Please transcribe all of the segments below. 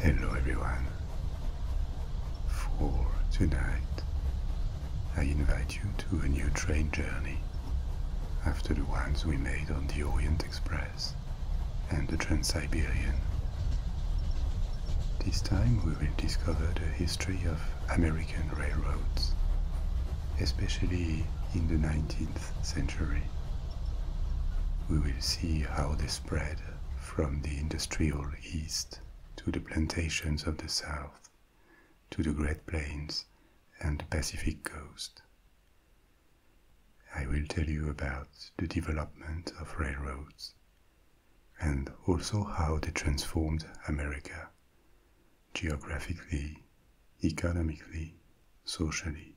Hello everyone. For tonight, I invite you to a new train journey after the ones we made on the Orient Express and the Trans-Siberian. This time we will discover the history of American railroads especially in the 19th century. We will see how they spread from the industrial East to the plantations of the South, to the Great Plains and the Pacific coast. I will tell you about the development of railroads and also how they transformed America geographically, economically, socially.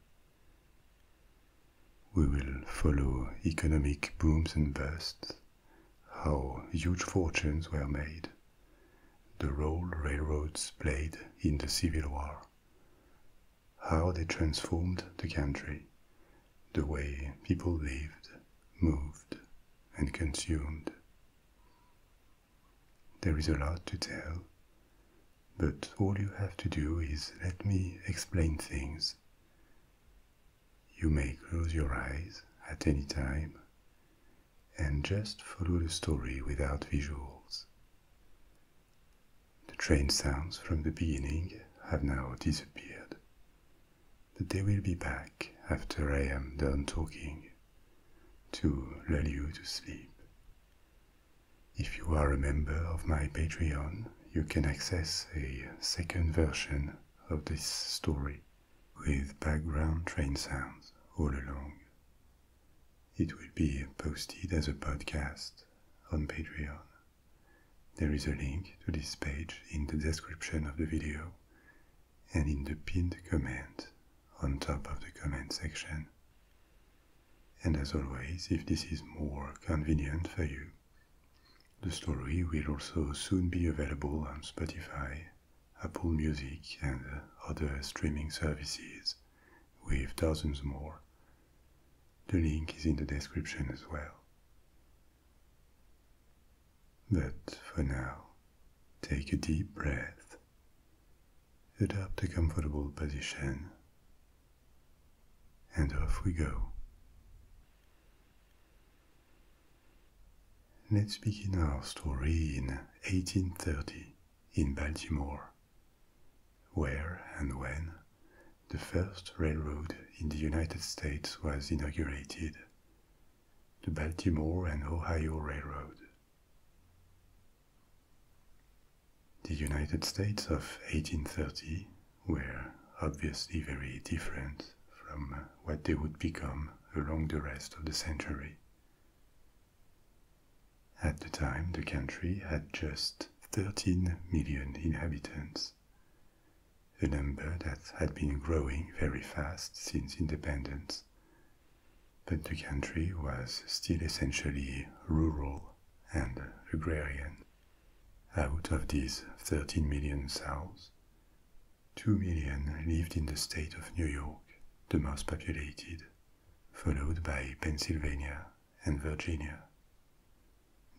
We will follow economic booms and busts, how huge fortunes were made, the role railroads played in the Civil War, how they transformed the country, the way people lived, moved, and consumed. There is a lot to tell, but all you have to do is let me explain things. You may close your eyes at any time and just follow the story without visuals. The train sounds from the beginning have now disappeared, but they will be back after I am done talking to lull you to sleep. If you are a member of my Patreon, you can access a second version of this story with background train sounds all along. It will be posted as a podcast on Patreon. There is a link to this page in the description of the video and in the pinned comment on top of the comment section. And as always, if this is more convenient for you, the story will also soon be available on Spotify, Apple Music, and other streaming services, with dozens more. The link is in the description as well. But for now, take a deep breath adopt a comfortable position, and off we go. Let's begin our story in 1830 in Baltimore, where and when the first railroad in the United States was inaugurated, the Baltimore and Ohio Railroad. The United States of 1830 were obviously very different from what they would become along the rest of the century. At the time, the country had just 13 million inhabitants, a number that had been growing very fast since independence but the country was still essentially rural and agrarian. Out of these 13 million souls, 2 million lived in the state of New York, the most populated, followed by Pennsylvania and Virginia.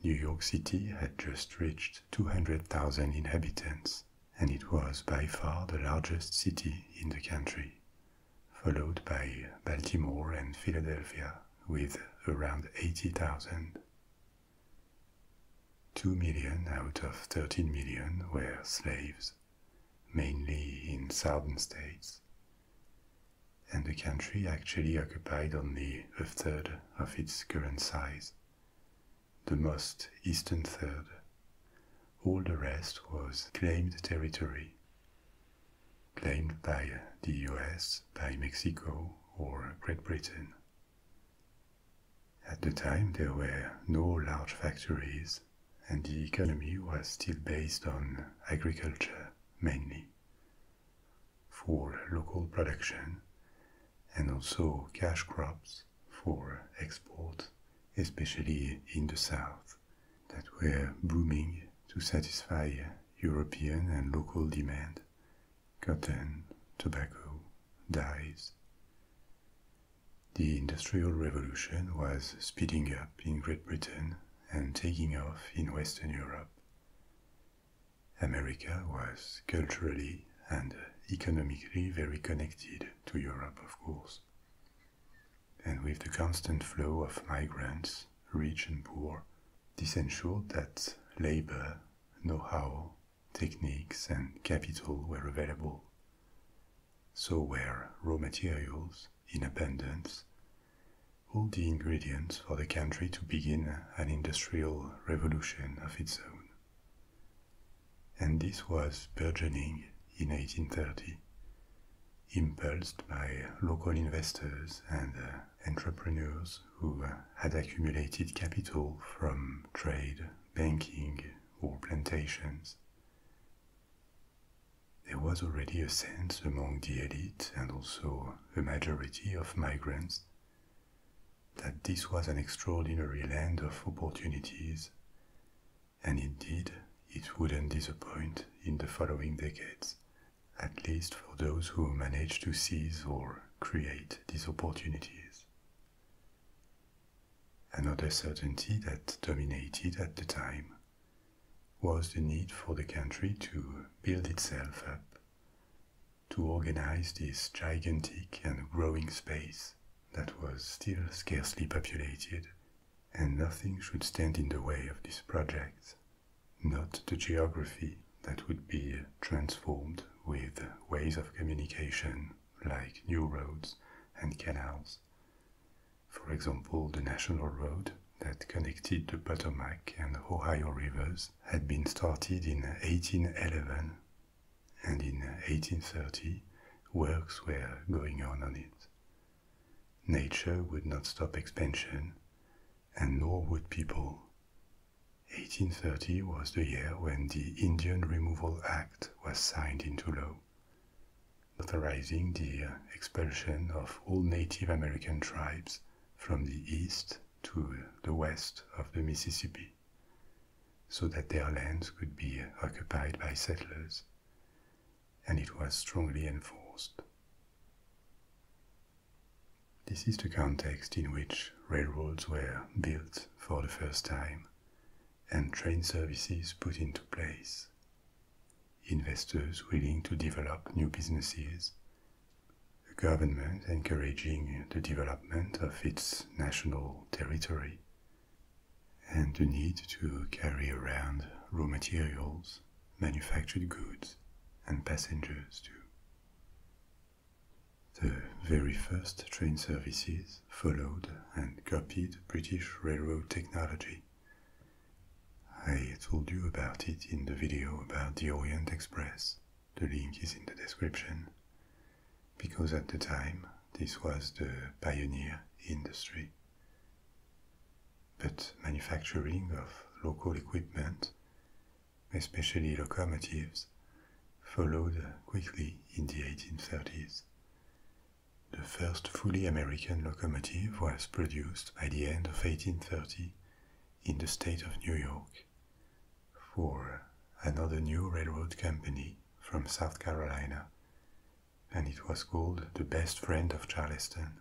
New York City had just reached 200,000 inhabitants, and it was by far the largest city in the country, followed by Baltimore and Philadelphia with around 80,000. 2 million out of 13 million were slaves, mainly in southern states, and the country actually occupied only a third of its current size, the most eastern third, all the rest was claimed territory, claimed by the US, by Mexico, or Great Britain. At the time, there were no large factories, and the economy was still based on agriculture mainly for local production and also cash crops for export especially in the south, that were booming to satisfy European and local demand cotton, tobacco, dyes. The Industrial Revolution was speeding up in Great Britain and taking off in Western Europe. America was culturally and economically very connected to Europe, of course and with the constant flow of migrants, rich and poor, this ensured that labor, know-how, techniques, and capital were available. So were raw materials in abundance, all the ingredients for the country to begin an industrial revolution of its own. And this was burgeoning in 1830 impulsed by local investors and uh, entrepreneurs who uh, had accumulated capital from trade, banking, or plantations. There was already a sense among the elite and also the majority of migrants that this was an extraordinary land of opportunities and indeed it wouldn't disappoint in the following decades, at least for those who managed to seize or create these opportunities. Another certainty that dominated at the time was the need for the country to build itself up, to organize this gigantic and growing space that was still scarcely populated and nothing should stand in the way of this project, not the geography that would be transformed with ways of communication like new roads and canals. For example, the national road that connected the Potomac and Ohio rivers had been started in 1811, and in 1830 works were going on on it. Nature would not stop expansion, and nor would people. 1830 was the year when the Indian Removal Act was signed into law, authorizing the expulsion of all Native American tribes from the east to the west of the Mississippi so that their lands could be occupied by settlers and it was strongly enforced. This is the context in which railroads were built for the first time and train services put into place. Investors willing to develop new businesses, The government encouraging the development of its national territory, and the need to carry around raw materials, manufactured goods, and passengers too. The very first train services followed and copied British railroad technology. I told you about it in the video about the Orient Express. The link is in the description. Because at the time, this was the pioneer industry but manufacturing of local equipment, especially locomotives, followed quickly in the 1830s. The first fully American locomotive was produced by the end of 1830 in the state of New York for another new railroad company from South Carolina and it was called the best friend of Charleston.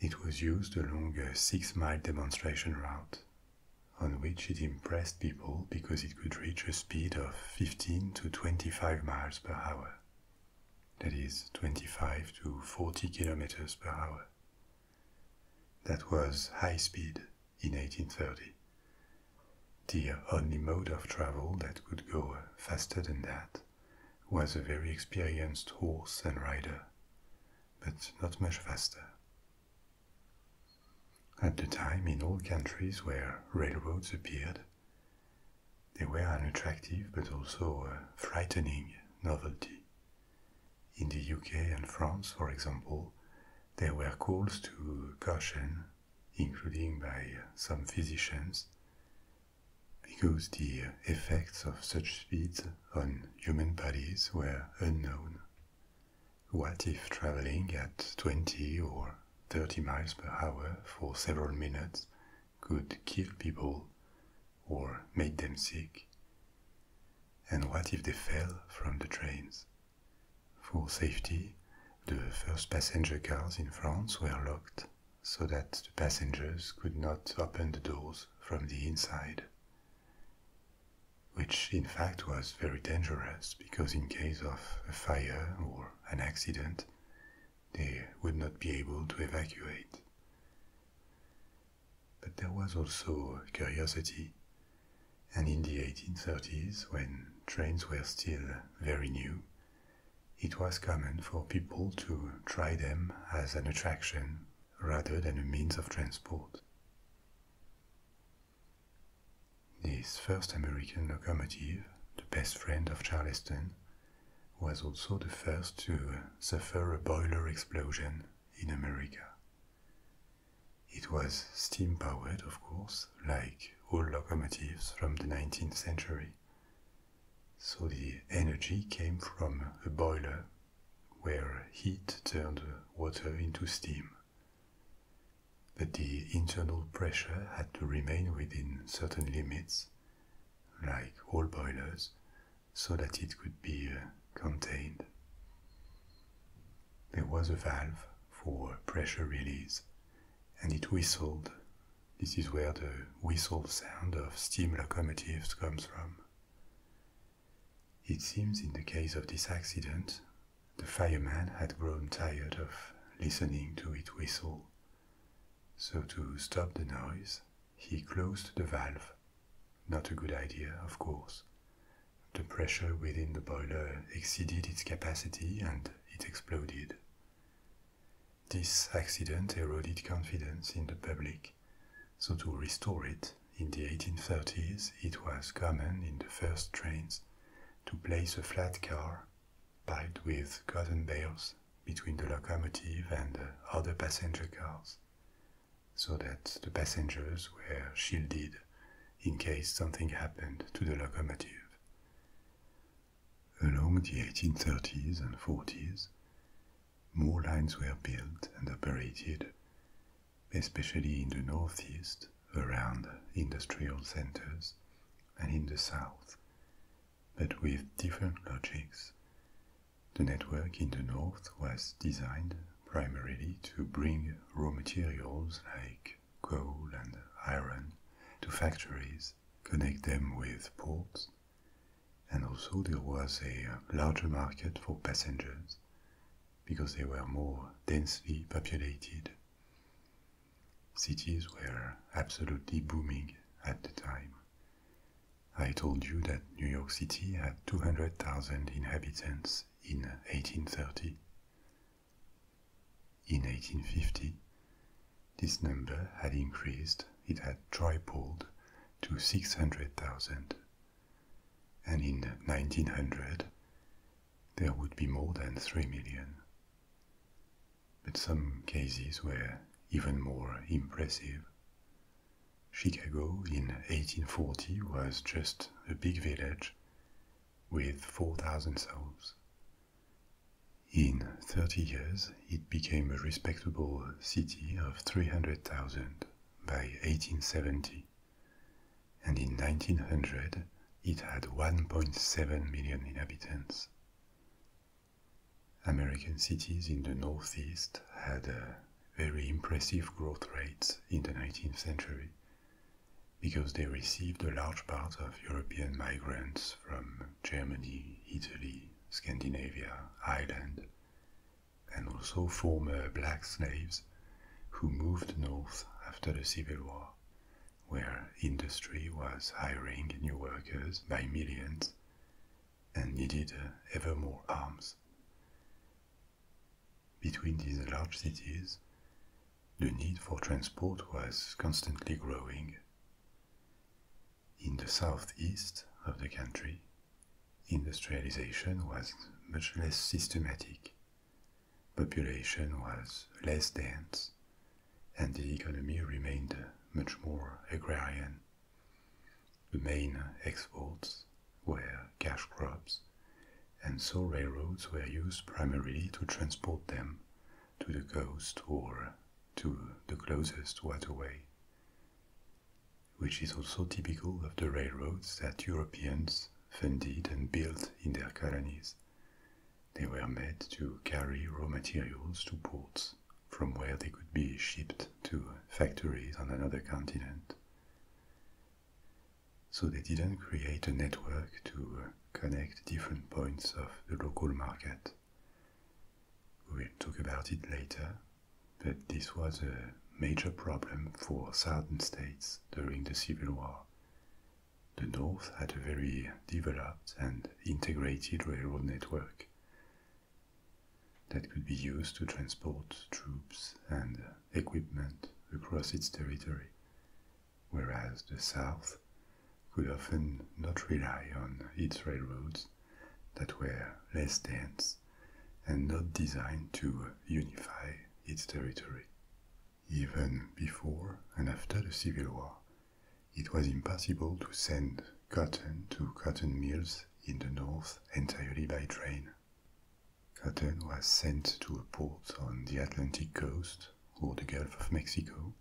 It was used along a six mile demonstration route, on which it impressed people because it could reach a speed of 15 to 25 miles per hour, that is, 25 to 40 kilometers per hour. That was high speed in 1830, the only mode of travel that could go faster than that was a very experienced horse and rider, but not much faster. At the time, in all countries where railroads appeared, they were an attractive but also a frightening novelty. In the UK and France, for example, there were calls to caution, including by some physicians, because the effects of such speeds on human bodies were unknown. What if traveling at 20 or 30 miles per hour for several minutes could kill people or make them sick? And what if they fell from the trains? For safety, the first passenger cars in France were locked so that the passengers could not open the doors from the inside, which in fact was very dangerous because, in case of a fire or an accident, they would not be able to evacuate. But there was also curiosity, and in the 1830s, when trains were still very new, it was common for people to try them as an attraction rather than a means of transport. This first American locomotive, the best friend of Charleston, was also the first to suffer a boiler explosion in America. It was steam powered, of course, like all locomotives from the 19th century, so the energy came from a boiler where heat turned water into steam. But the internal pressure had to remain within certain limits, like all boilers, so that it could be uh, contained. There was a valve for pressure release, and it whistled this is where the whistle sound of steam locomotives comes from. It seems in the case of this accident, the fireman had grown tired of listening to it whistle. So, to stop the noise, he closed the valve. Not a good idea, of course. The pressure within the boiler exceeded its capacity and it exploded. This accident eroded confidence in the public, so to restore it, in the 1830s it was common in the first trains to place a flat car piled with cotton bales between the locomotive and other passenger cars, so that the passengers were shielded in case something happened to the locomotive. Along the 1830s and 40s, more lines were built and operated, especially in the northeast around industrial centers and in the south, but with different logics. The network in the north was designed primarily to bring raw materials like coal and iron to factories, connect them with ports, and also there was a uh, larger market for passengers because they were more densely populated. Cities were absolutely booming at the time. I told you that New York City had 200,000 inhabitants in 1830. In 1850, this number had increased, it had tripled to 600,000. And in 1900, there would be more than 3 million. But some cases were even more impressive. Chicago in 1840 was just a big village with 4,000 souls. In 30 years, it became a respectable city of 300,000 by 1870, and in 1900 it had 1.7 million inhabitants. American cities in the Northeast had very impressive growth rates in the 19th century because they received a large part of European migrants from Germany, Italy, Scandinavia, Ireland, and also former black slaves who moved north after the Civil War, where industry was hiring new workers by millions and needed uh, ever more arms. Between these large cities, the need for transport was constantly growing, in the southeast of the country, industrialization was much less systematic, population was less dense, and the economy remained much more agrarian. The main exports were cash crops, and so railroads were used primarily to transport them to the coast or to the closest waterway which is also typical of the railroads that Europeans funded and built in their colonies. They were made to carry raw materials to ports from where they could be shipped to factories on another continent. So they didn't create a network to connect different points of the local market. We'll talk about it later, but this was a major problem for southern states during the Civil War. The North had a very developed and integrated railroad network that could be used to transport troops and equipment across its territory, whereas the South could often not rely on its railroads that were less dense and not designed to unify its territory. Even before and after the Civil War, it was impossible to send cotton to cotton mills in the north entirely by train. Cotton was sent to a port on the Atlantic coast or the Gulf of Mexico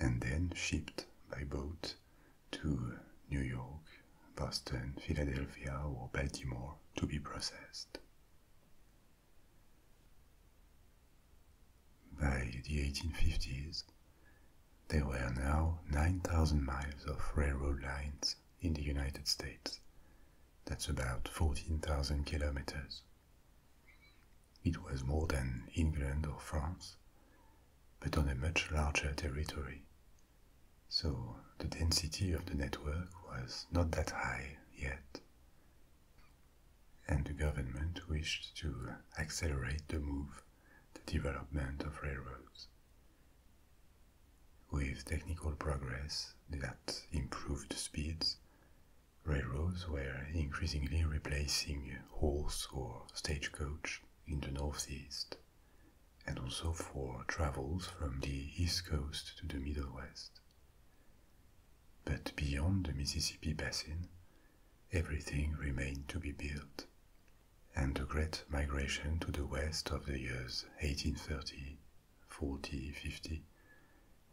and then shipped by boat to New York, Boston, Philadelphia, or Baltimore to be processed. By the 1850s, there were now 9,000 miles of railroad lines in the United States. That's about 14,000 kilometers. It was more than England or France, but on a much larger territory. So the density of the network was not that high yet. And the government wished to accelerate the move, the development of railroads. With technical progress that improved speeds, railroads were increasingly replacing horse or stagecoach in the northeast, and also for travels from the east coast to the middle west. But beyond the Mississippi basin, everything remained to be built, and the great migration to the west of the years 1830, 40, 50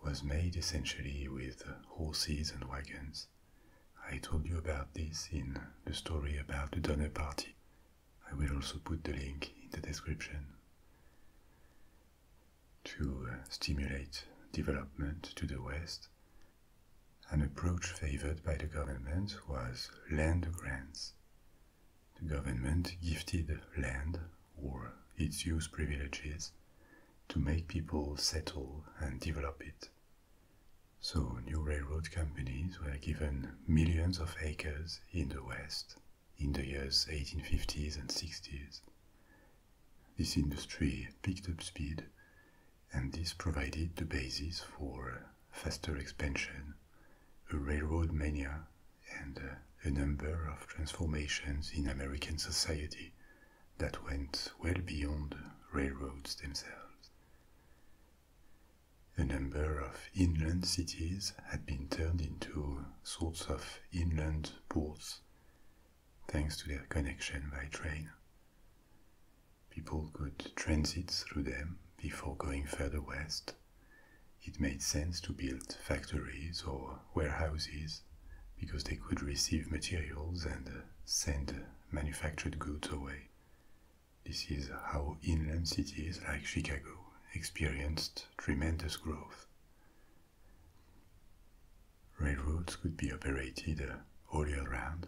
was made essentially with horses and wagons I told you about this in the story about the Donner Party. I will also put the link in the description. To uh, stimulate development to the West, an approach favored by the government was land grants. The government gifted land or its use privileges to make people settle and develop it. West. So new railroad companies were given millions of acres in the West in the years 1850s and 60s. This industry picked up speed, and this provided the basis for faster expansion, a railroad mania, and a number of transformations in American society that went well beyond railroads themselves. A number of inland cities had been turned into sorts of inland ports thanks to their connection by train. People could transit through them before going further west. It made sense to build factories or warehouses because they could receive materials and send manufactured goods away. This is how inland cities like Chicago experienced tremendous growth. Railroads could be operated all year round,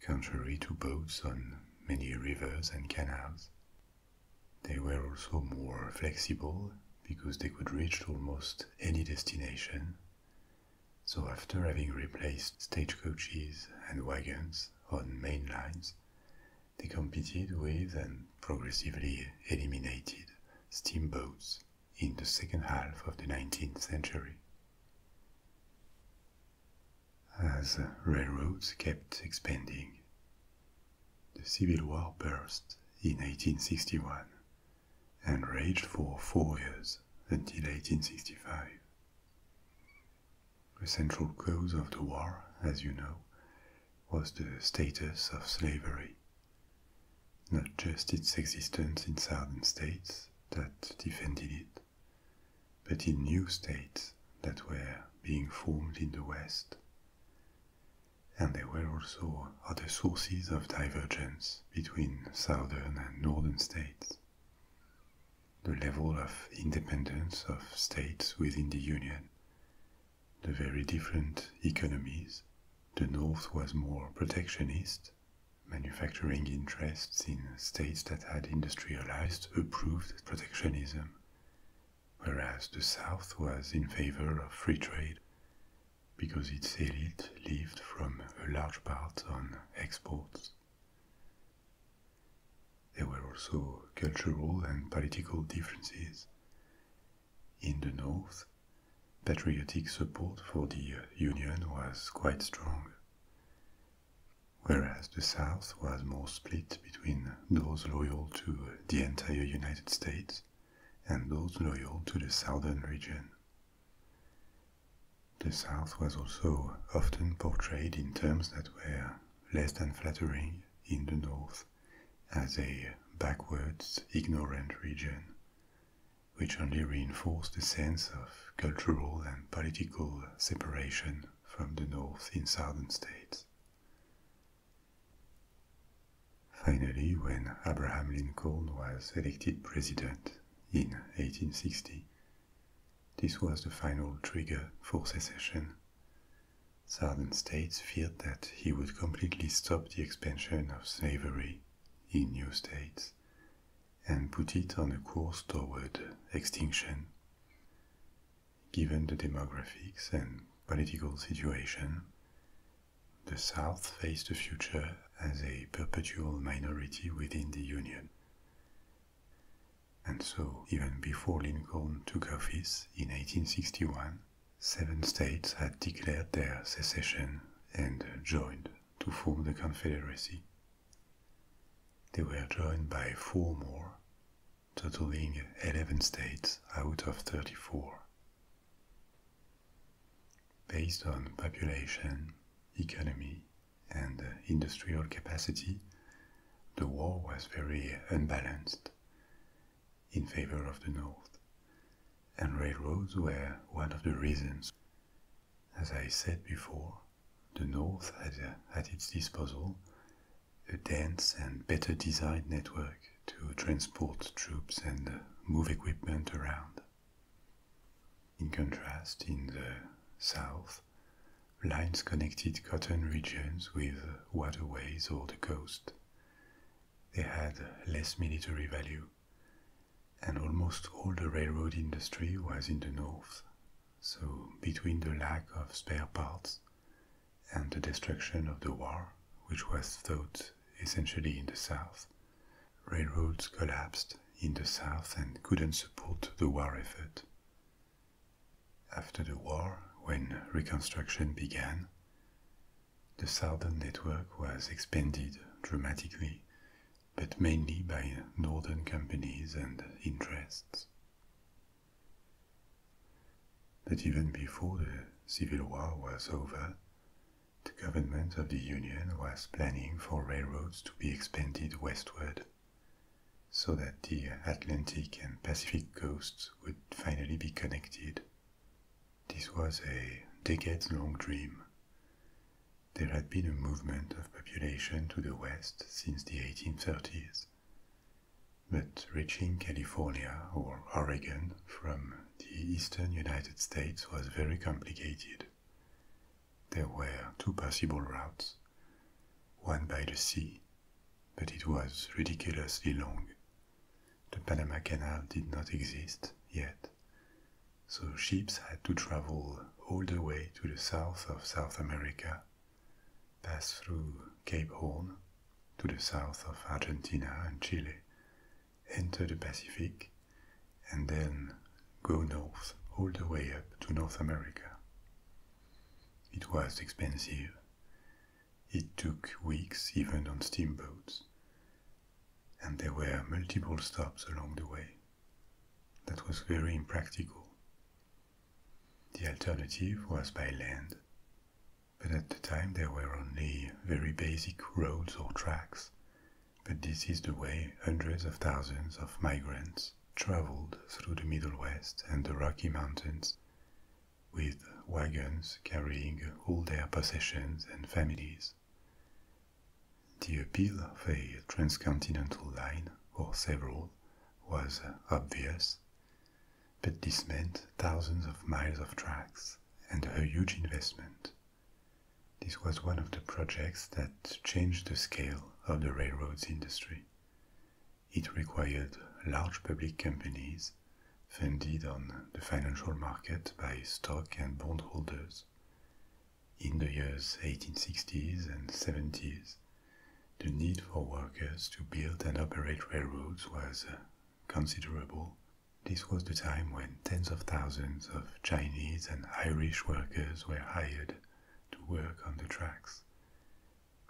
contrary to boats on many rivers and canals. They were also more flexible because they could reach almost any destination. So, after having replaced stagecoaches and wagons, on main lines, they competed with and progressively eliminated steamboats in the second half of the 19th century. As railroads kept expanding, the Civil War burst in 1861 and raged for four years until 1865. The central cause of the war, as you know, was the status of slavery. Not just its existence in southern states that defended it, but in new states that were being formed in the West. And there were also other sources of divergence between southern and northern states the level of independence of states within the Union, the very different economies. The North was more protectionist, manufacturing interests in states that had industrialized approved protectionism, whereas the South was in favor of free trade because its elite lived from a large part on exports. There were also cultural and political differences. In the north, patriotic support for the Union was quite strong, whereas the south was more split between those loyal to the entire United States and those loyal to the southern region. The South was also often portrayed in terms that were less than flattering in the North as a backwards, ignorant region, which only reinforced the sense of cultural and political separation from the North in southern states. Finally, when Abraham Lincoln was elected president in 1860, this was the final trigger for secession. Southern states feared that he would completely stop the expansion of slavery in new states and put it on a course toward extinction. Given the demographics and political situation, the South faced the future as a perpetual minority within the Union. And so, even before Lincoln took office in 1861, seven states had declared their secession and joined to form the Confederacy. They were joined by four more, totaling 11 states out of 34. Based on population, economy, and industrial capacity, the war was very unbalanced in favor of the North, and railroads were one of the reasons. As I said before, the North had uh, at its disposal a dense and better designed network to transport troops and uh, move equipment around. In contrast, in the South, lines connected cotton regions with waterways or the coast. They had less military value, and almost all the railroad industry was in the north. So, between the lack of spare parts and the destruction of the war, which was fought essentially in the south, railroads collapsed in the south and couldn't support the war effort. After the war, when reconstruction began, the southern network was expanded dramatically, but mainly by northern companies and interests. But even before the Civil War was over, the government of the Union was planning for railroads to be expanded westward so that the Atlantic and Pacific coasts would finally be connected. This was a decades-long dream. There had been a movement of population to the west since the 1830s, but reaching California or Oregon from the eastern United States was very complicated. There were two possible routes, one by the sea, but it was ridiculously long. The Panama Canal did not exist yet, so ships had to travel all the way to the south of South America, pass through Cape Horn to the south of Argentina and Chile, enter the Pacific, and then go north all the way up to North America. It was expensive. It took weeks even on steamboats. And there were multiple stops along the way. That was very impractical. The alternative was by land, but at the time there were only very basic roads or tracks. But this is the way hundreds of thousands of migrants traveled through the Middle West and the Rocky Mountains with wagons carrying all their possessions and families. The appeal of a transcontinental line, or several, was obvious, but this meant thousands of miles of tracks and a huge investment. This was one of the projects that changed the scale of the railroads industry. It required large public companies funded on the financial market by stock and bond holders. In the years 1860s and 70s, the need for workers to build and operate railroads was uh, considerable. This was the time when tens of thousands of Chinese and Irish workers were hired to work on the tracks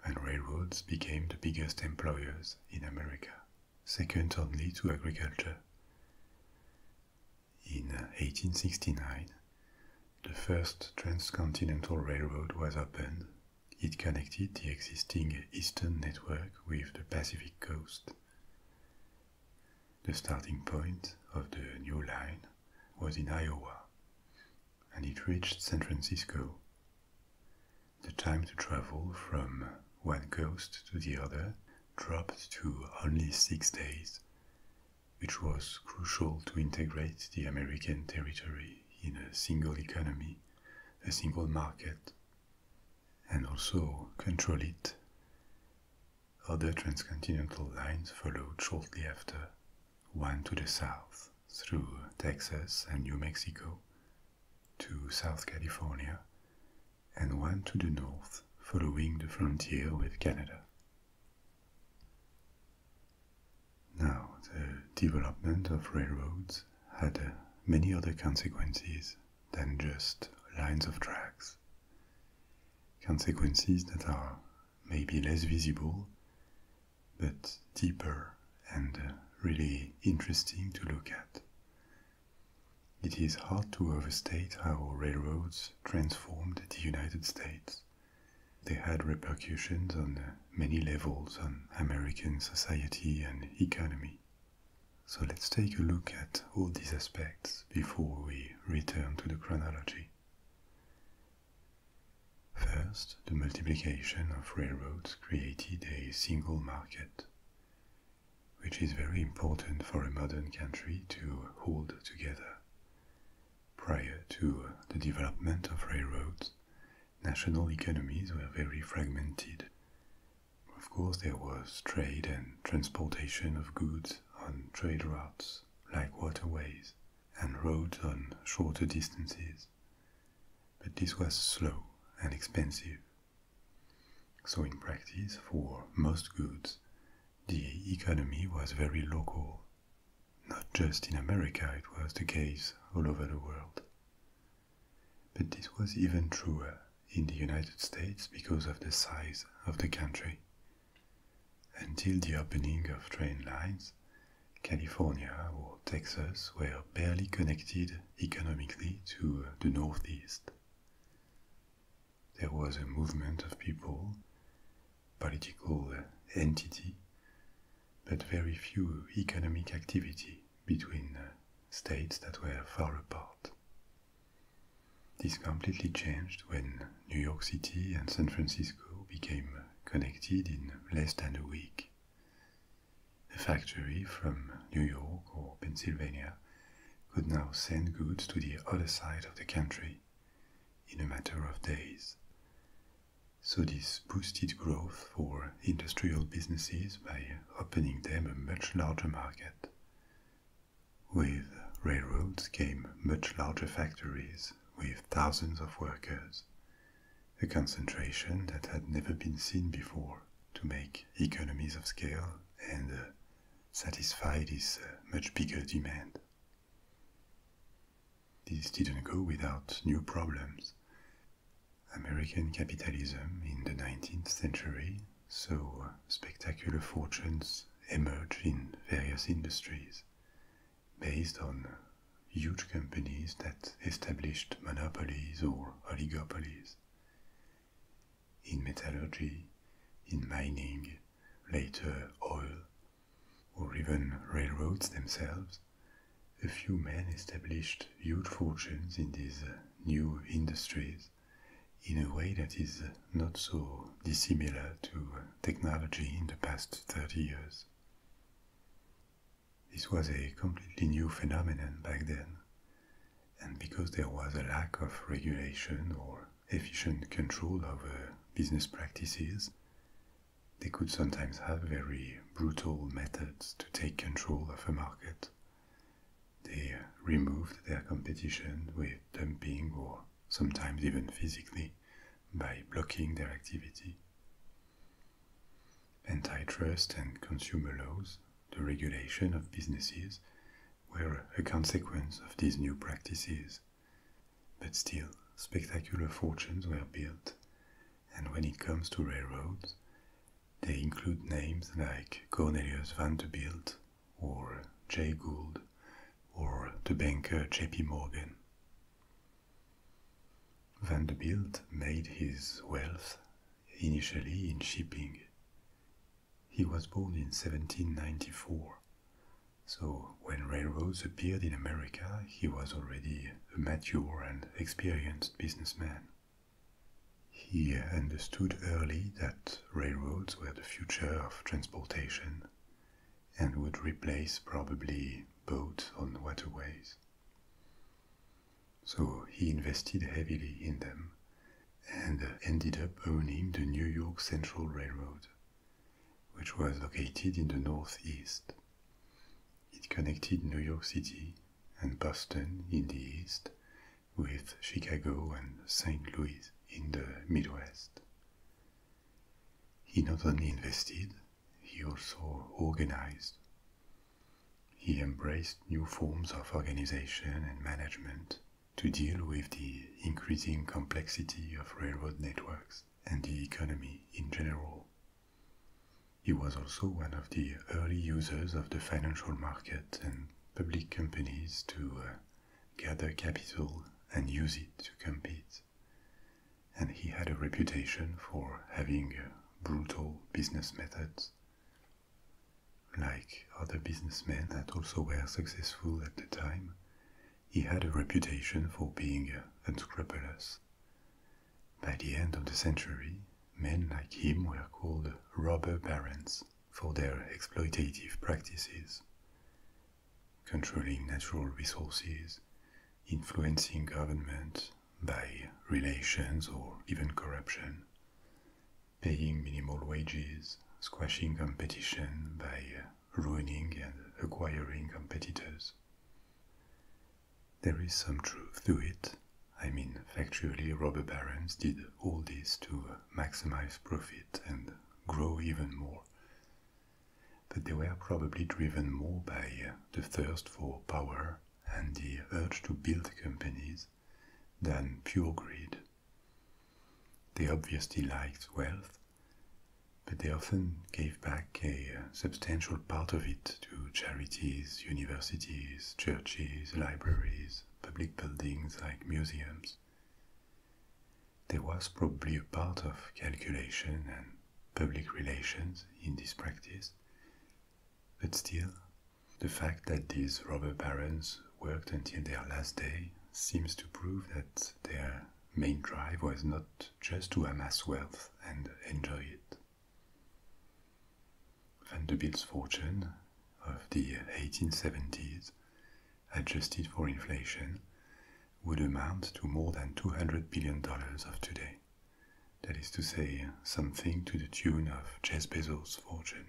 and railroads became the biggest employers in America, second only to agriculture. In 1869, the first transcontinental railroad was opened. It connected the existing eastern network with the Pacific coast. The starting point of the new line was in Iowa, and it reached San Francisco. The time to travel from one coast to the other dropped to only six days, which was crucial to integrate the American territory in a single economy, a single market, and also control it. Other transcontinental lines followed shortly after, one to the south through Texas and New Mexico to South California, and one to the north following the frontier with Canada. Now, the development of railroads had uh, many other consequences than just lines of tracks. Consequences that are maybe less visible but deeper and uh, really interesting to look at. It is hard to overstate how railroads transformed the United States. They had repercussions on uh, many levels on American society and economy. So let's take a look at all these aspects before we return to the chronology. First, the multiplication of railroads created a single market, which is very important for a modern country to hold together. Prior to the development of railroads, national economies were very fragmented. Of course, there was trade and transportation of goods on trade routes like waterways and roads on shorter distances. But this was slow and expensive. So, in practice, for most goods, the economy was very local. Not just in America, it was the case all over the world. But this was even truer in the United States because of the size of the country. Until the opening of train lines, California or Texas were barely connected economically to uh, the Northeast. There was a movement of people, political uh, entity, but very few economic activity between uh, states that were far apart. This completely changed when New York City and San Francisco became connected in less than a week. A factory from New York or Pennsylvania could now send goods to the other side of the country in a matter of days. So, this boosted growth for industrial businesses by opening them a much larger market. With railroads came much larger factories with thousands of workers, a concentration that had never been seen before to make economies of scale and uh, satisfy this uh, much bigger demand. This didn't go without new problems. American capitalism in the 19th century saw uh, spectacular fortunes emerge in various industries, based on huge companies that established monopolies or oligopolies. In metallurgy, in mining, later oil, or even railroads themselves, a few men established huge fortunes in these new industries in a way that is not so dissimilar to technology in the past 30 years. This was a completely new phenomenon back then, and because there was a lack of regulation or efficient control over business practices, they could sometimes have very brutal methods to take control of a market. They removed their competition with dumping or sometimes even physically by blocking their activity. Antitrust and consumer laws, the regulation of businesses, were a consequence of these new practices. But still, spectacular fortunes were built, and when it comes to railroads, they include names like Cornelius Vanderbilt or Jay Gould or the banker J.P. Morgan. Vanderbilt made his wealth initially in shipping. He was born in 1794, so when railroads appeared in America, he was already a mature and experienced businessman. He understood early that railroads were the future of transportation and would replace probably boats on waterways. So he invested heavily in them and ended up owning the New York Central Railroad, which was located in the northeast. It connected New York City and Boston in the east with Chicago and St. Louis in the Midwest. He not only invested, he also organized. He embraced new forms of organization and management to deal with the increasing complexity of railroad networks and the economy in general. He was also one of the early users of the financial market and public companies to uh, gather capital and use it to compete and he had a reputation for having brutal business methods. Like other businessmen that also were successful at the time, he had a reputation for being unscrupulous. By the end of the century, men like him were called robber barons for their exploitative practices, controlling natural resources, influencing government by relations or even corruption, paying minimal wages, squashing competition by ruining and acquiring competitors. There is some truth to it. I mean, factually, robber barons did all this to maximize profit and grow even more but they were probably driven more by uh, the thirst for power and the urge to build companies than pure greed. They obviously liked wealth, but they often gave back a uh, substantial part of it to charities, universities, churches, libraries, public buildings like museums. There was probably a part of calculation and public relations in this practice. But still, the fact that these robber barons worked until their last day seems to prove that their main drive was not just to amass wealth and enjoy it. Vanderbilt's fortune of the 1870s, adjusted for inflation, would amount to more than $200 billion of today that is to say, something to the tune of Jeff Bezos' fortune.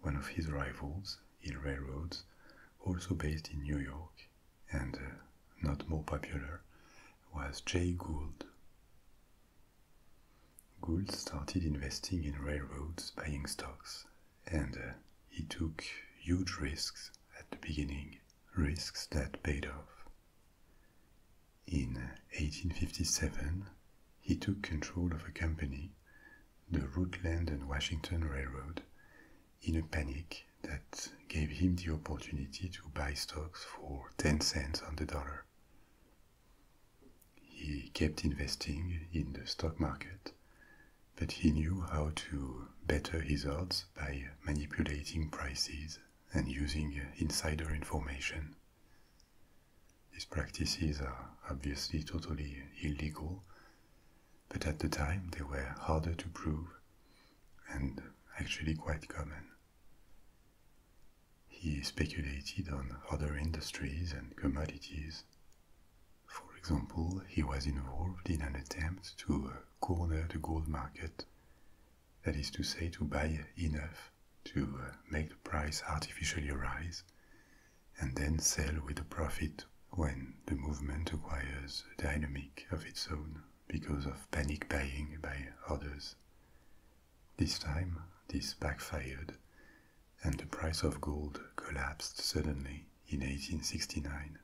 One of his rivals, in Railroads, also based in New York and uh, not more popular, was Jay Gould. Gould started investing in railroads, buying stocks, and uh, he took huge risks at the beginning risks that paid off. In 1857, he took control of a company, the Rutland and Washington Railroad, in a panic that gave him the opportunity to buy stocks for 10 cents on the dollar. He kept investing in the stock market, but he knew how to better his odds by manipulating prices and using insider information. These practices are obviously totally illegal, but at the time they were harder to prove and actually quite common. He speculated on other industries and commodities. For example, he was involved in an attempt to uh, corner the gold market. That is to say, to buy enough to uh, make the price artificially rise and then sell with a profit when the movement acquires a dynamic of its own because of panic buying by others. This time, this backfired and the price of gold collapsed suddenly in 1869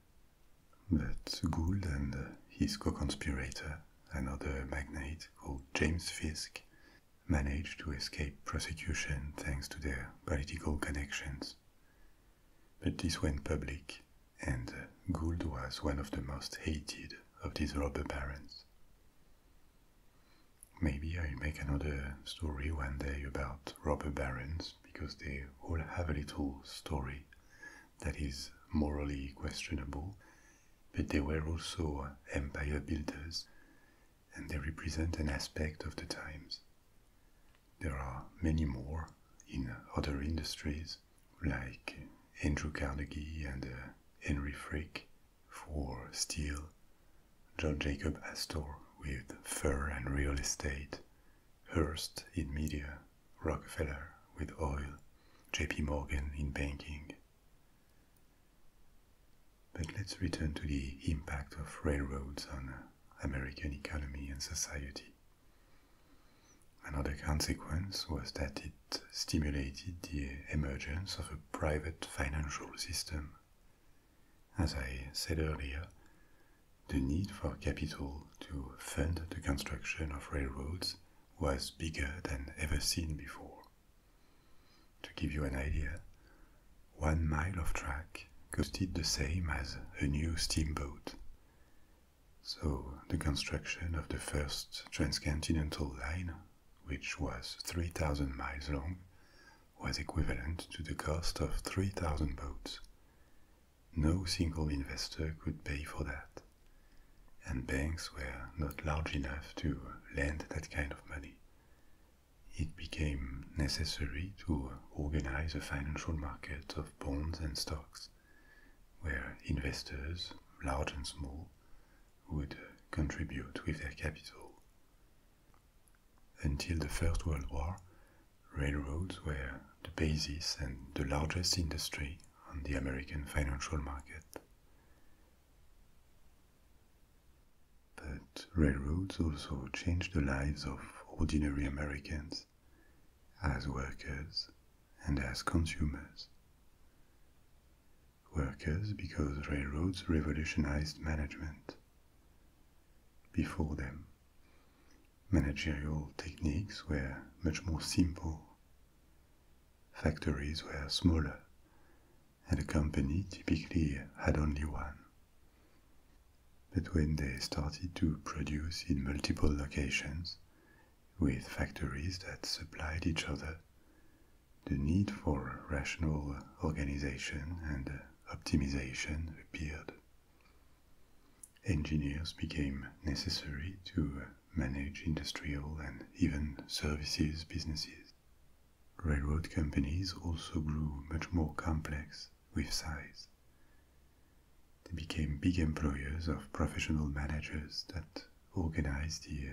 but Gould and his co-conspirator, another magnate called James Fisk, managed to escape prosecution thanks to their political connections. But this went public, and Gould was one of the most hated of these robber barons. Maybe I'll make another story one day about robber barons because they all have a little story that is morally questionable, but they were also uh, empire builders, and they represent an aspect of the times. There are many more in other industries, like Andrew Carnegie and uh, Henry Frick for steel, John Jacob Astor with fur and real estate, Hearst in media, Rockefeller with oil, JP Morgan in banking. But let's return to the impact of railroads on American economy and society. Another consequence was that it stimulated the emergence of a private financial system. As I said earlier, the need for capital to fund the construction of railroads was bigger than ever seen before. To give you an idea, one mile of track costed the same as a new steamboat. So the construction of the first transcontinental line, which was 3,000 miles long, was equivalent to the cost of 3,000 boats, no single investor could pay for that, and banks were not large enough to lend that kind of money. It became necessary to organize a financial market of bonds and stocks, where investors, large and small, would contribute with their capital. Until the First World War, railroads were the basis and the largest industry on the American financial market. But railroads also changed the lives of ordinary Americans as workers and as consumers. Workers because railroads revolutionized management. Before them, Managerial techniques were much more simple. Factories were smaller, and a company typically had only one. But when they started to produce in multiple locations, with factories that supplied each other, the need for rational organization and optimization appeared. Engineers became necessary to manage industrial and even services businesses. Railroad companies also grew much more complex with size. They became big employers of professional managers that organized the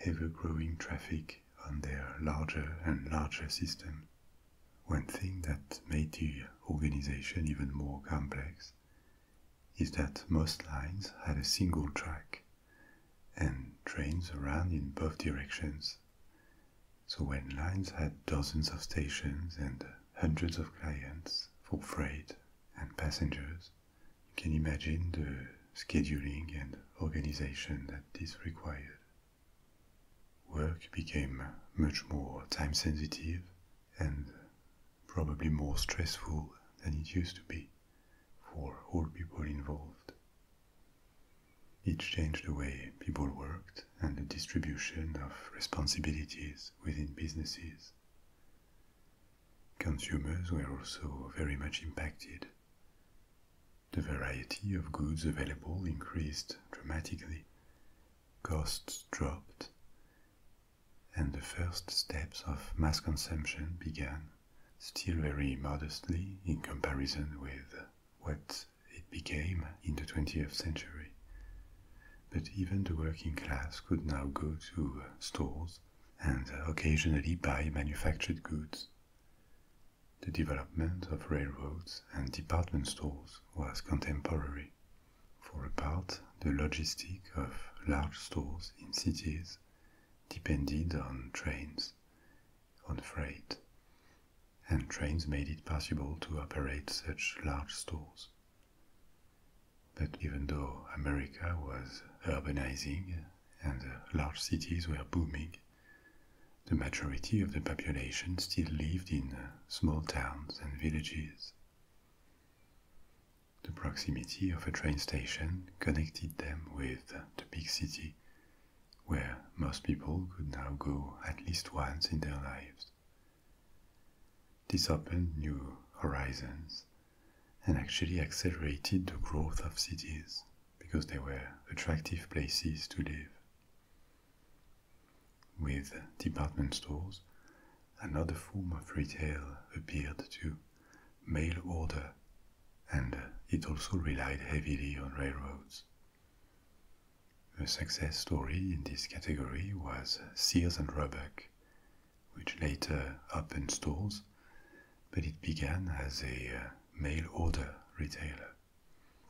ever-growing traffic on their larger and larger system. One thing that made the organization even more complex is that most lines had a single track and trains ran in both directions. So when lines had dozens of stations and hundreds of clients for freight and passengers, you can imagine the scheduling and organization that this required. Work became much more time sensitive and probably more stressful than it used to be for all people involved. It changed the way people worked and the distribution of responsibilities within businesses. Consumers were also very much impacted. The variety of goods available increased dramatically, costs dropped, and the first steps of mass consumption began, still very modestly in comparison with what it became in the 20th century. But even the working class could now go to stores and occasionally buy manufactured goods. The development of railroads and department stores was contemporary, for a part, the logistic of large stores in cities depended on trains, on freight, and trains made it possible to operate such large stores. But even though America was urbanizing and large cities were booming, the majority of the population still lived in small towns and villages. The proximity of a train station connected them with the big city, where most people could now go at least once in their lives. This opened new horizons and actually accelerated the growth of cities because they were attractive places to live. With department stores, another form of retail appeared too, mail order, and it also relied heavily on railroads. A success story in this category was Sears and Roebuck, which later opened stores, but it began as a uh, mail order retailer.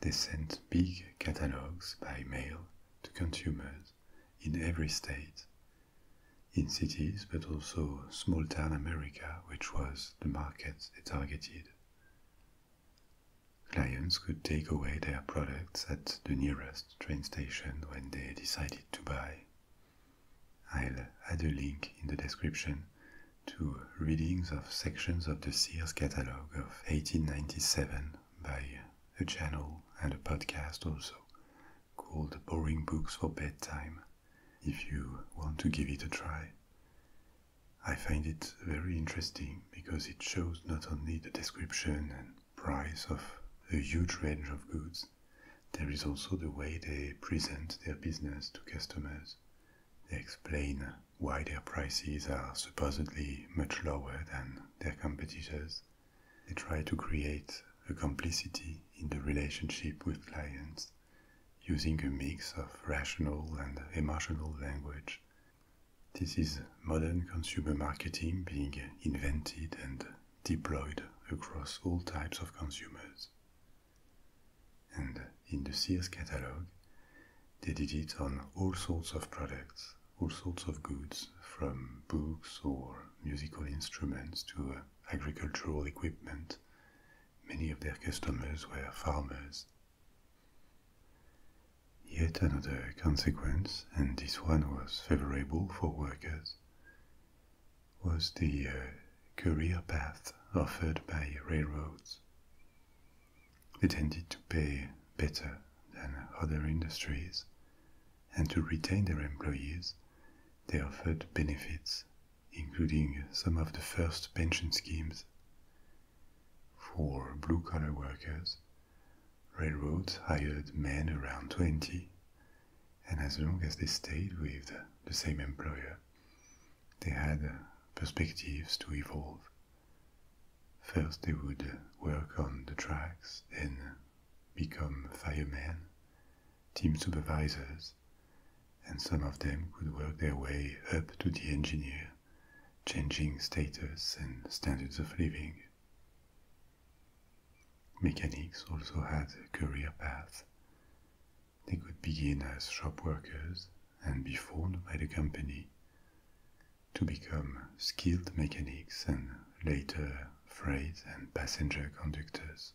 They sent big catalogs by mail to consumers in every state in cities, but also small town America, which was the market they targeted. Clients could take away their products at the nearest train station when they decided to buy. I'll add a link in the description to readings of sections of the Sears catalog of 1897 by a channel and a podcast also called Boring Books for Bedtime if you want to give it a try. I find it very interesting because it shows not only the description and price of a huge range of goods, there is also the way they present their business to customers. They explain why their prices are supposedly much lower than their competitors they try to create a complicity in the relationship with clients using a mix of rational and emotional language. This is modern consumer marketing being invented and deployed across all types of consumers. And in the Sears catalog, they did it on all sorts of products, all sorts of goods, from books or musical instruments to uh, agricultural equipment. Many of their customers were farmers. Yet another consequence, and this one was favorable for workers, was the uh, career path offered by railroads. They tended to pay better than other industries and to retain their employees, they offered benefits, including some of the first pension schemes. For blue collar workers, railroads hired men around 20, and as long as they stayed with the same employer, they had perspectives to evolve. First, they would work on the tracks, then become firemen, team supervisors, and some of them could work their way up to the engineer, changing status and standards of living. Mechanics also had a career path. They could begin as shop workers and be formed by the company to become skilled mechanics and later freight and passenger conductors.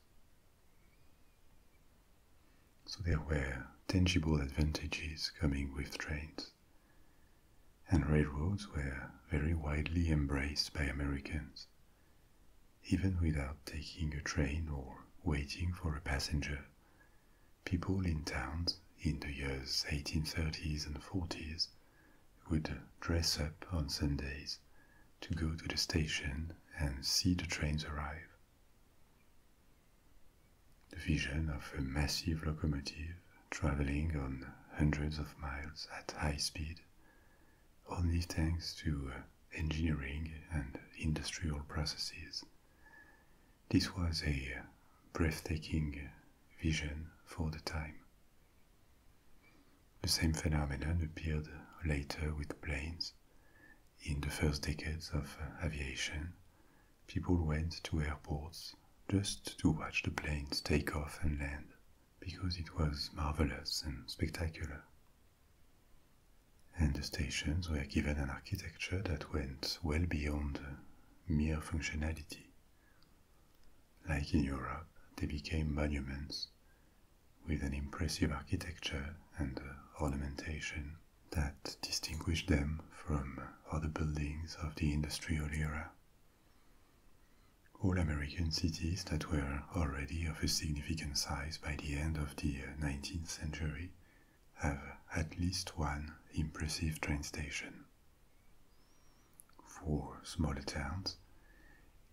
So there were tangible advantages coming with trains, and railroads were very widely embraced by Americans, even without taking a train or waiting for a passenger. People in towns in the years 1830s and 40s would dress up on Sundays to go to the station and see the trains arrive. The vision of a massive locomotive traveling on hundreds of miles at high speed, only thanks to uh, engineering and industrial processes. This was a breathtaking vision for the time. The same phenomenon appeared later with planes. In the first decades of uh, aviation, people went to airports just to watch the planes take off and land because it was marvelous and spectacular. And the stations were given an architecture that went well beyond mere functionality. Like in Europe, they became monuments with an impressive architecture and ornamentation that distinguish them from other buildings of the industrial era. All American cities that were already of a significant size by the end of the 19th century have at least one impressive train station. For smaller towns,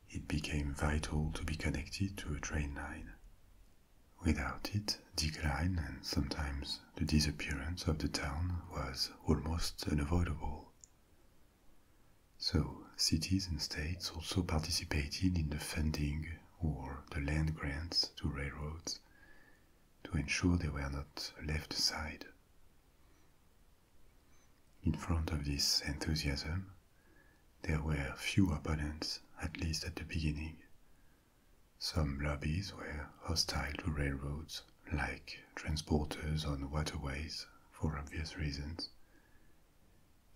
it became vital to be connected to a train line. Without it, decline and sometimes the disappearance of the town was almost unavoidable. So, cities and states also participated in the funding or the land grants to railroads to ensure they were not left aside. In front of this enthusiasm, there were few opponents, at least at the beginning. Some lobbies were hostile to railroads, like transporters on waterways, for obvious reasons.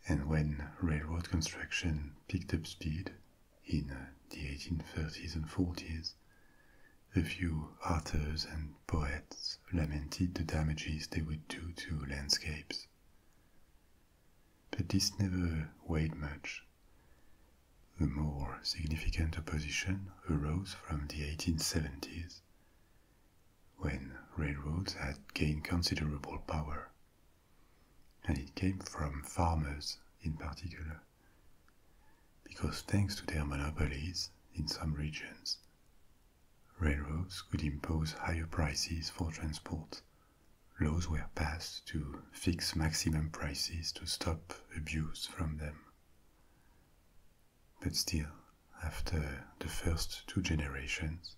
And when railroad construction picked up speed in the 1830s and 40s, a few authors and poets lamented the damages they would do to landscapes. But this never weighed much. The more significant opposition arose from the 1870s, when railroads had gained considerable power, and it came from farmers in particular, because thanks to their monopolies in some regions, Railroads could impose higher prices for transport. Laws were passed to fix maximum prices to stop abuse from them. But still, after the first two generations,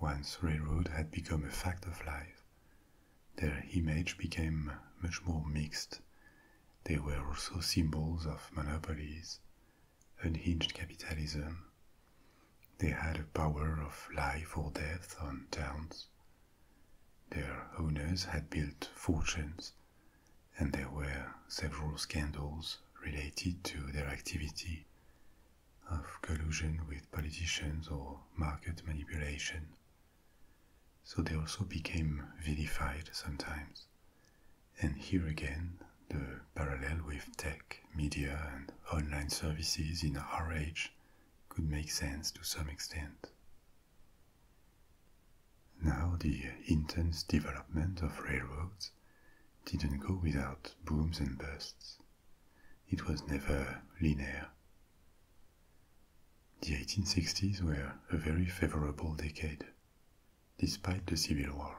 once railroad had become a fact of life, their image became much more mixed. They were also symbols of monopolies, unhinged capitalism. They had a power of life or death on towns. Their owners had built fortunes, and there were several scandals related to their activity of collusion with politicians or market manipulation. So they also became vilified sometimes, and here again, the parallel with tech, media, and online services in our age could make sense to some extent. Now, the intense development of railroads didn't go without booms and busts. It was never linear. The 1860s were a very favorable decade despite the Civil War.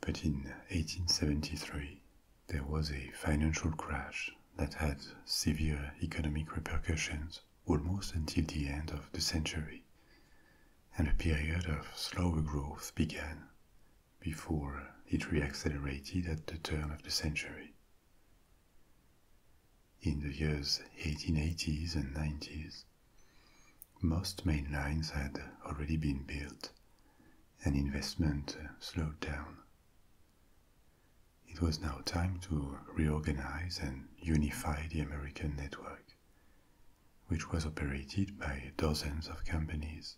But in 1873, there was a financial crash that had severe economic repercussions almost until the end of the century, and a period of slower growth began before it reaccelerated at the turn of the century. In the years 1880s and 90s, most main lines had already been built, and investment uh, slowed down. It was now time to reorganize and unify the American network, which was operated by dozens of companies.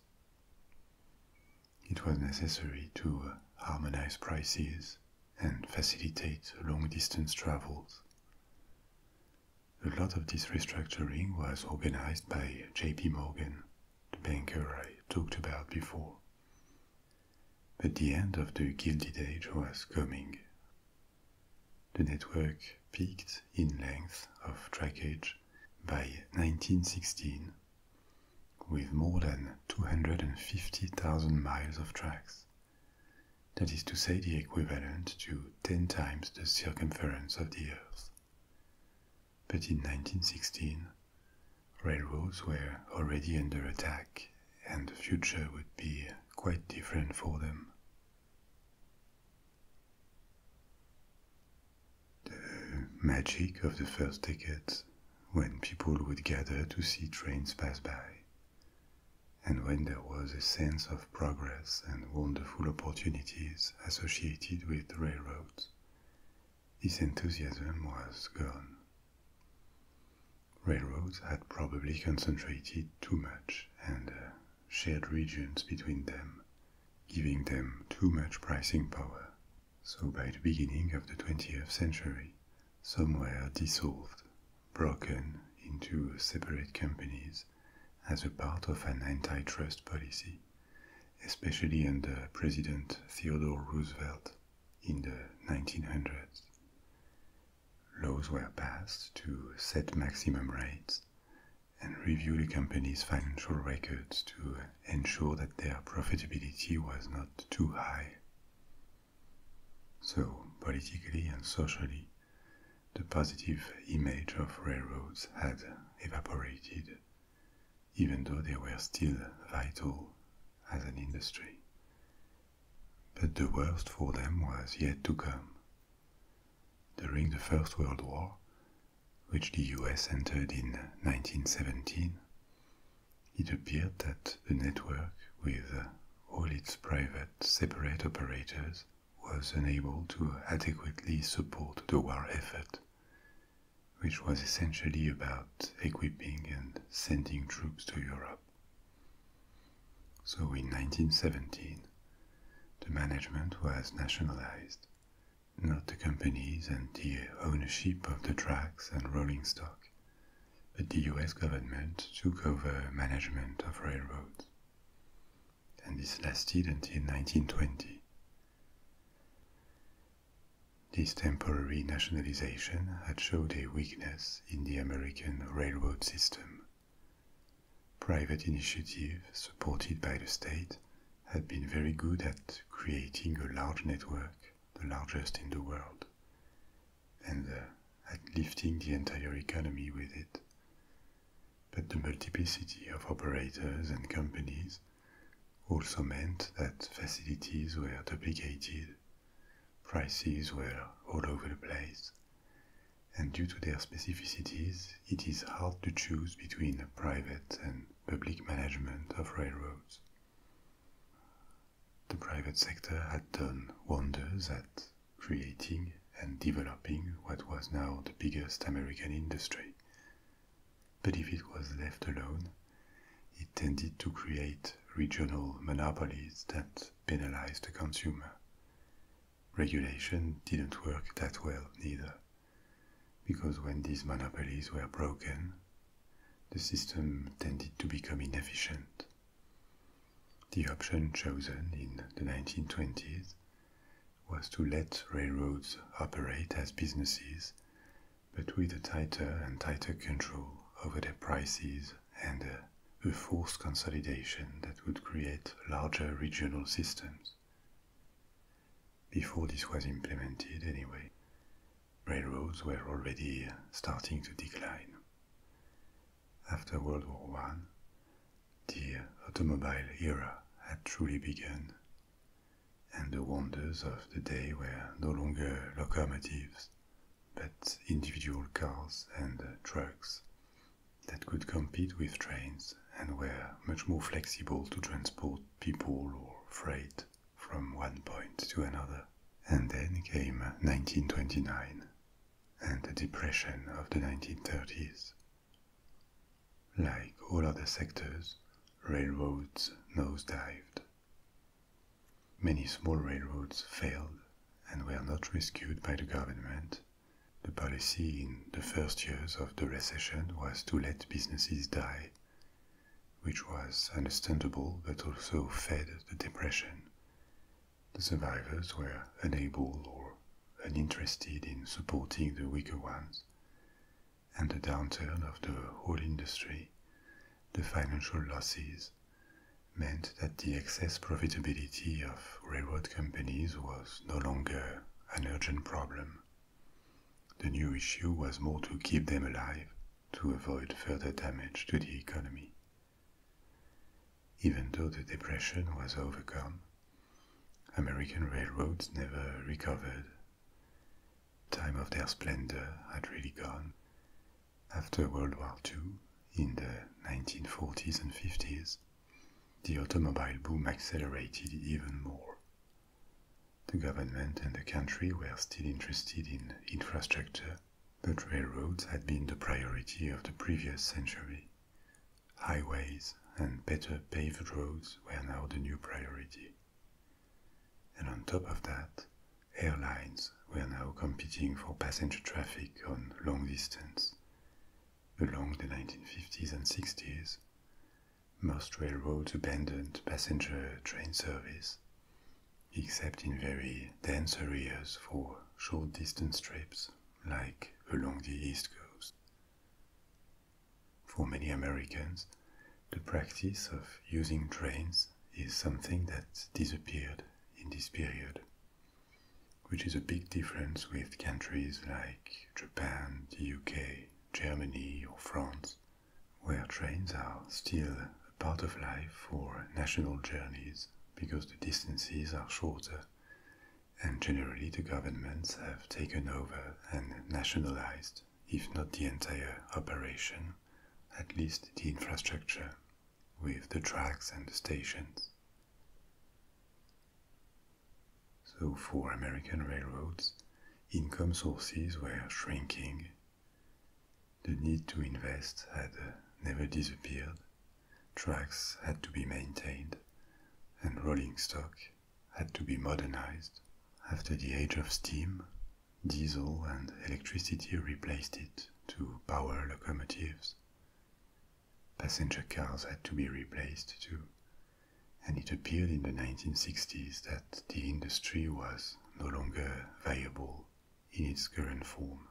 It was necessary to uh, harmonize prices and facilitate long distance travels. A lot of this restructuring was organized by JP Morgan, the banker I talked about before. But the end of the Gilded Age was coming. The network peaked in length of trackage by 1916 with more than 250,000 miles of tracks. That is to say, the equivalent to 10 times the circumference of the Earth. But in 1916, railroads were already under attack and the future would be quite different for them. The magic of the first tickets, when people would gather to see trains pass by, and when there was a sense of progress and wonderful opportunities associated with railroads. This enthusiasm was gone. Railroads had probably concentrated too much and uh, shared regions between them, giving them too much pricing power. So by the beginning of the 20th century, some were dissolved, broken into separate companies as a part of an antitrust policy especially under President Theodore Roosevelt in the 1900s. Laws were passed to set maximum rates and review the company's financial records to ensure that their profitability was not too high. So, politically and socially, the positive image of railroads had evaporated, even though they were still vital as an industry. But the worst for them was yet to come. During the First World War, which the US entered in 1917, it appeared that the network, with all its private separate operators, was unable to adequately support the war effort, which was essentially about equipping and sending troops to Europe. So in 1917, the management was nationalized, not the companies and the ownership of the tracks and rolling stock, but the US government took over management of railroads and this lasted until 1920. This temporary nationalization had showed a weakness in the American railroad system. Private initiative supported by the state had been very good at creating a large network, the largest in the world, and uh, at lifting the entire economy with it but the multiplicity of operators and companies also meant that facilities were duplicated, prices were all over the place, and due to their specificities, it is hard to choose between private and public management of railroads. The private sector had done wonders at creating and developing what was now the biggest American industry but if it was left alone, it tended to create regional monopolies that penalized the consumer. Regulation didn't work that well neither, because when these monopolies were broken, the system tended to become inefficient. The option chosen in the 1920s was to let railroads operate as businesses, but with a tighter and tighter control over their prices and a, forced consolidation that would create larger regional systems. Before this was implemented, anyway, railroads were already starting to decline. After World War I, the automobile era had truly begun and the wonders of the day were no longer locomotives, but individual cars and trucks that could compete with trains and were much more flexible to transport people or freight from one point to another. And then came 1929 and the depression of the 1930s, like all other sectors, railroads nosedived. Many small railroads failed and were not rescued by the government. The policy in the first years of the recession was to let businesses die, which was understandable but also fed the depression. The survivors were unable or uninterested in supporting the weaker ones and the downturn of the whole industry, the financial losses, meant that the excess profitability of railroad companies was no longer an urgent problem. The new issue was more to keep them alive to avoid further damage to the economy. Even though the depression was overcome, American railroads never recovered. Time of their splendor had really gone. After World War II, in the 1940s and 50s, the automobile boom accelerated even more. The government and the country were still interested in infrastructure, but railroads had been the priority of the previous century, Highways and better paved roads were now the new priority. And on top of that, airlines were now competing for passenger traffic on long distance. Along the 1950s and 60s, most railroads abandoned passenger train service, except in very dense areas for short distance trips like along the East Coast. For many Americans, the practice of using trains is something that disappeared in this period, which is a big difference with countries like Japan, the UK, Germany, or France, where trains are still a part of life for national journeys because the distances are shorter and generally the governments have taken over and nationalized, if not the entire operation, at least the infrastructure, with the tracks and the stations. So for American railroads, income sources were shrinking. The need to invest had never disappeared. Tracks had to be maintained, and rolling stock had to be modernized. After the age of steam, diesel and electricity replaced it to power locomotives. Passenger cars had to be replaced too, and it appeared in the 1960s that the industry was no longer viable in its current form.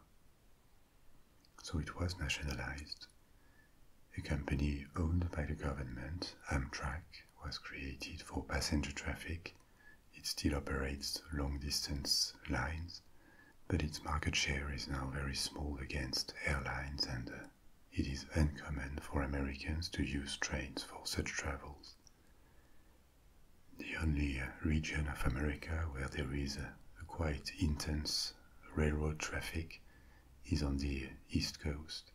So it was nationalized a company owned by the government, Amtrak, was created for passenger traffic. It still operates long distance lines, but its market share is now very small against airlines, and uh, it is uncommon for Americans to use trains for such travels. The only uh, region of America where there is uh, a quite intense railroad traffic is on the East Coast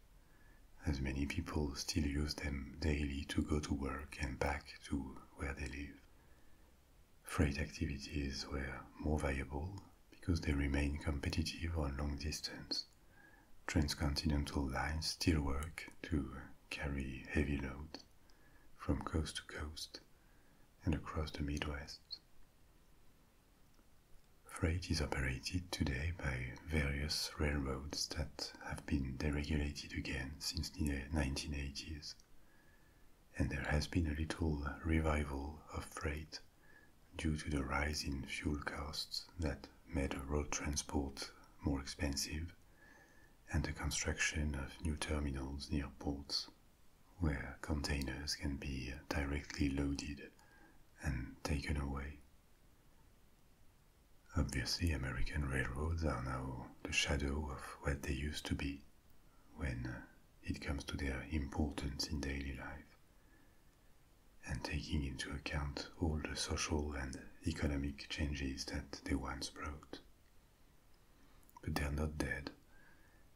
as many people still use them daily to go to work and back to where they live. Freight activities were more viable because they remain competitive on long distance. Transcontinental lines still work to carry heavy load, from coast to coast and across the Midwest. Freight is operated today by various railroads that have been deregulated again since the 1980s, and there has been a little revival of freight due to the rise in fuel costs that made road transport more expensive and the construction of new terminals near ports where containers can be directly loaded and taken away. Obviously, American railroads are now the shadow of what they used to be when uh, it comes to their importance in daily life. And taking into account all the social and economic changes that they once brought. But they're not dead,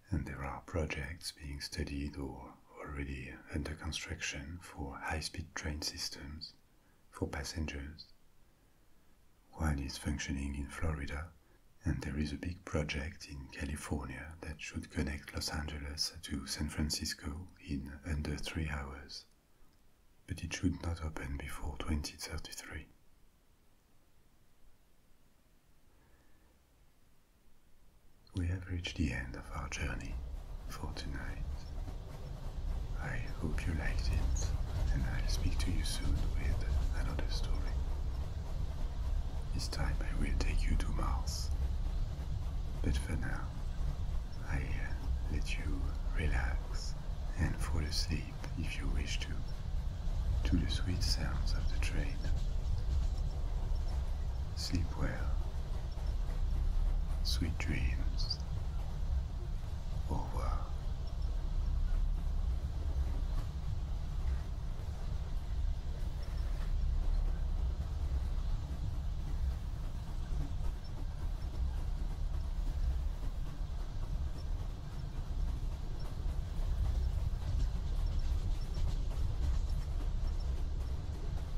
and there are projects being studied or already under construction for high-speed train systems for passengers. One is functioning in Florida, and there is a big project in California that should connect Los Angeles to San Francisco in under three hours, but it should not open before 2033. We have reached the end of our journey for tonight. I hope you liked it, and I'll speak to you soon with another story. This time I will take you to Mars. But for now, I let you relax and fall asleep if you wish to, to the sweet sounds of the train. Sleep well. Sweet dreams. Over.